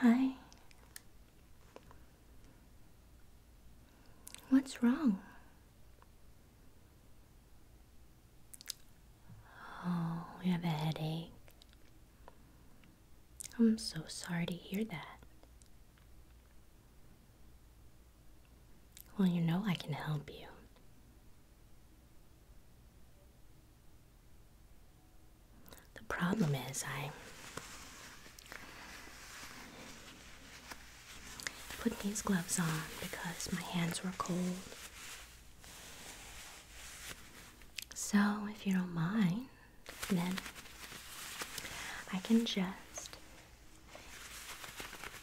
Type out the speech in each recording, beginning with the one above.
Hi. What's wrong? Oh, you have a headache. I'm so sorry to hear that. Well, you know I can help you. The problem is I put these gloves on because my hands were cold. So, if you don't mind, then I can just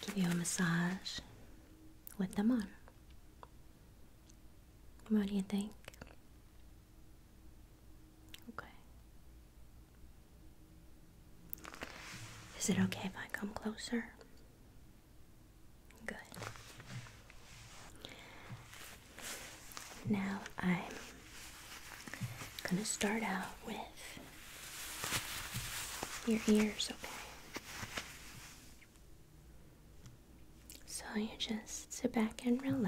give you a massage with them on. What do you think? Okay. Is it okay if I come closer? Good. Now I'm going to start out with your ears, okay? So you just sit back and relax.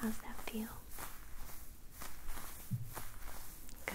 How's that feel? Good.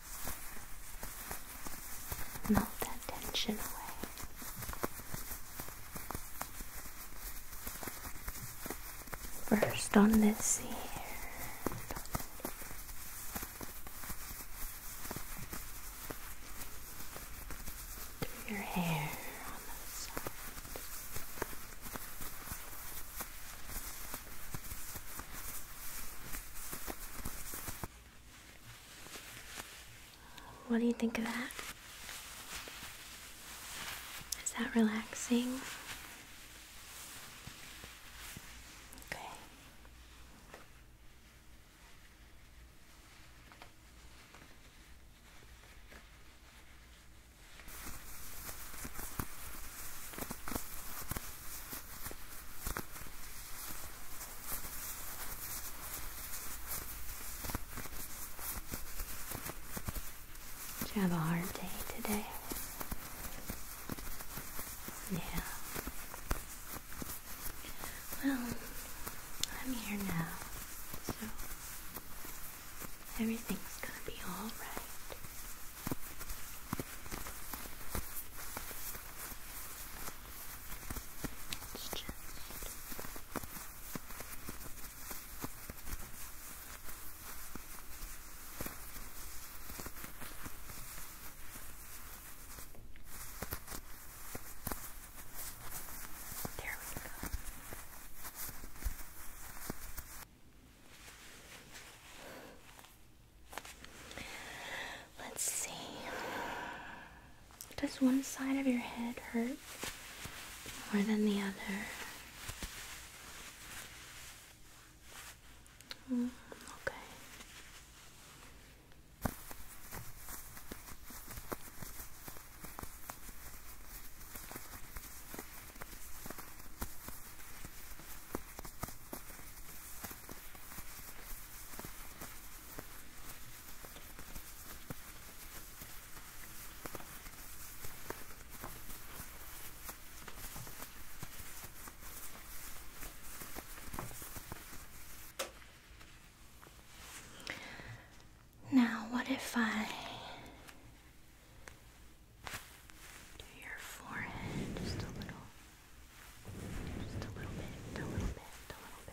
Melt that tension away. First on this ear. Through your hair on the side. What do you think of that? Is that relaxing? Okay. Did you have a hard day today? Yeah. Well, I'm here now, so everything's gonna be alright. It's just there we go. Let's see. Does one side of your head hurt more than the other? Mm, okay. Now, what if I to your forehead just a little. Just a little bit, a little bit, a little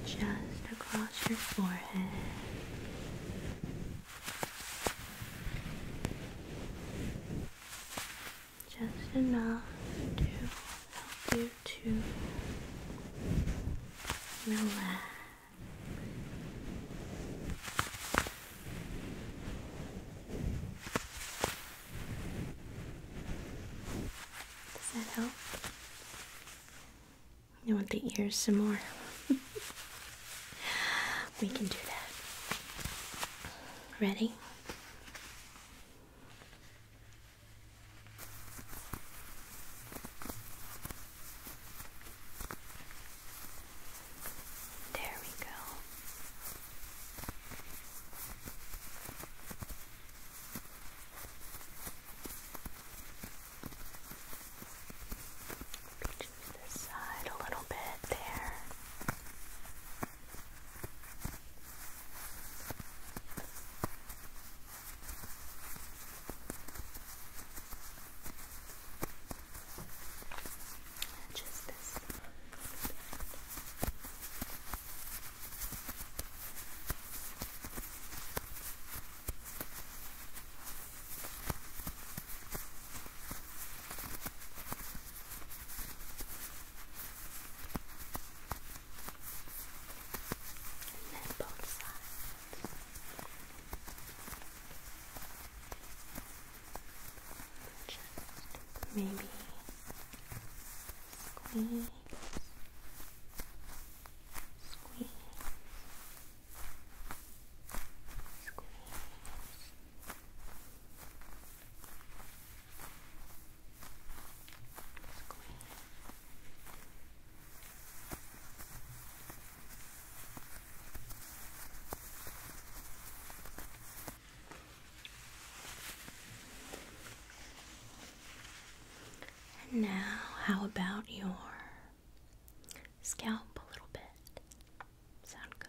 bit. Just across your forehead. Just enough to help you to relax. Does that help? You want the ears some more? we can do that. Ready? There we go. Pinches this side a little bit there. And this. And then both sides. Just maybe squeeze, squeeze, and now, how about your scalp a little bit. Sound good.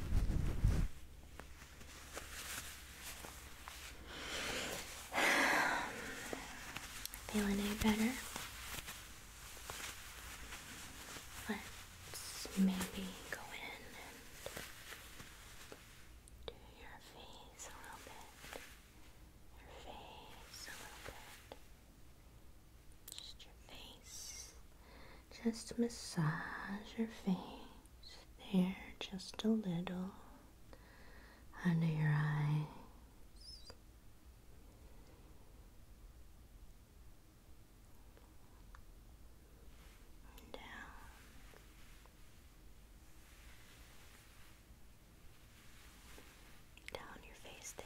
Feeling any better? Let's maybe go in and do your face a little bit. Your face a little bit. Just your face. Just massage your face there just a little under your eyes. down. Down your face there.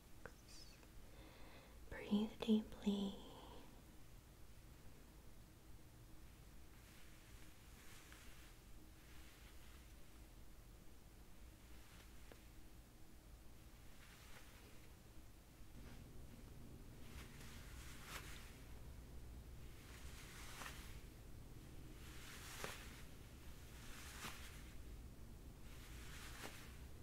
Breathe deeply.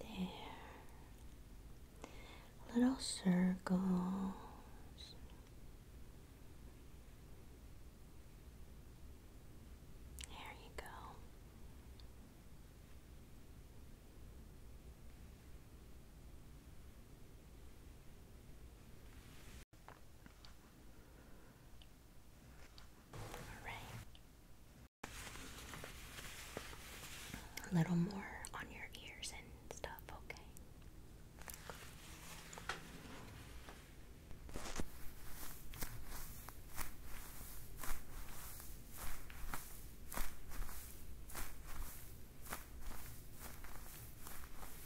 There. Little circles. There you go. Alright. A little more on your ears and stuff, Okay.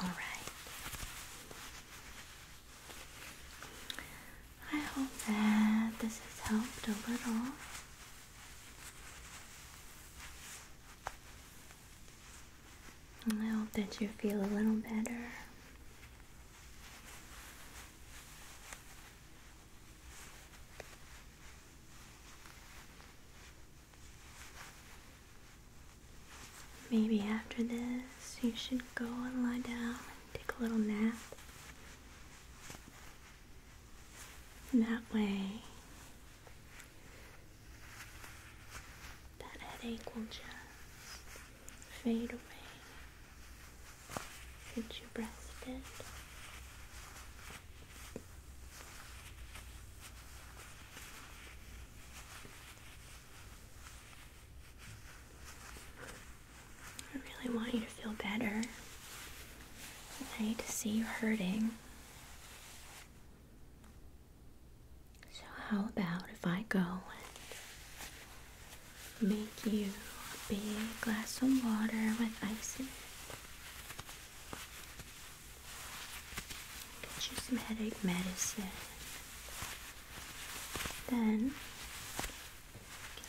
All right. I hope that this has helped a little. I hope that you feel a little better. Maybe after this, you should go and lie down and take a little nap. And that way, that headache will just fade away since you breathed it. I really want you to feel better. I hate to see you hurting. So, how about if I go and make you a big glass of water with ice in it? Get you some headache medicine. Then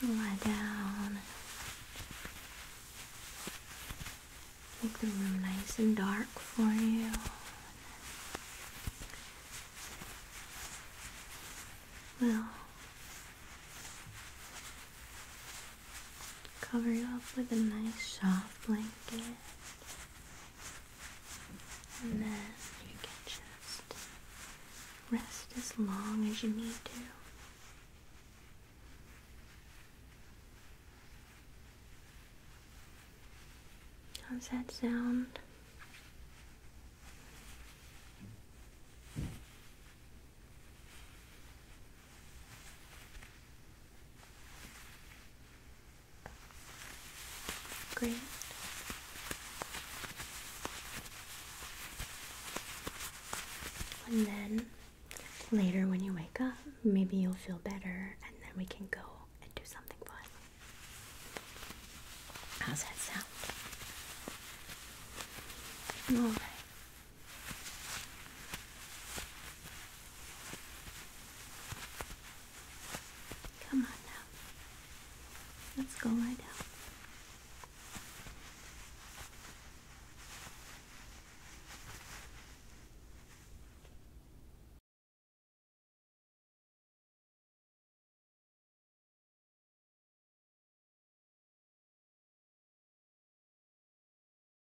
you can lie down. Make the room nice and dark for you. Well, Cover you up with a nice soft blanket. And then you can just rest as long as you need to. How's that sound? Great. And then later when you wake up, maybe you'll feel better and then we can go and do something fun. How's that sound? Alright. Come on now. Let's go right down.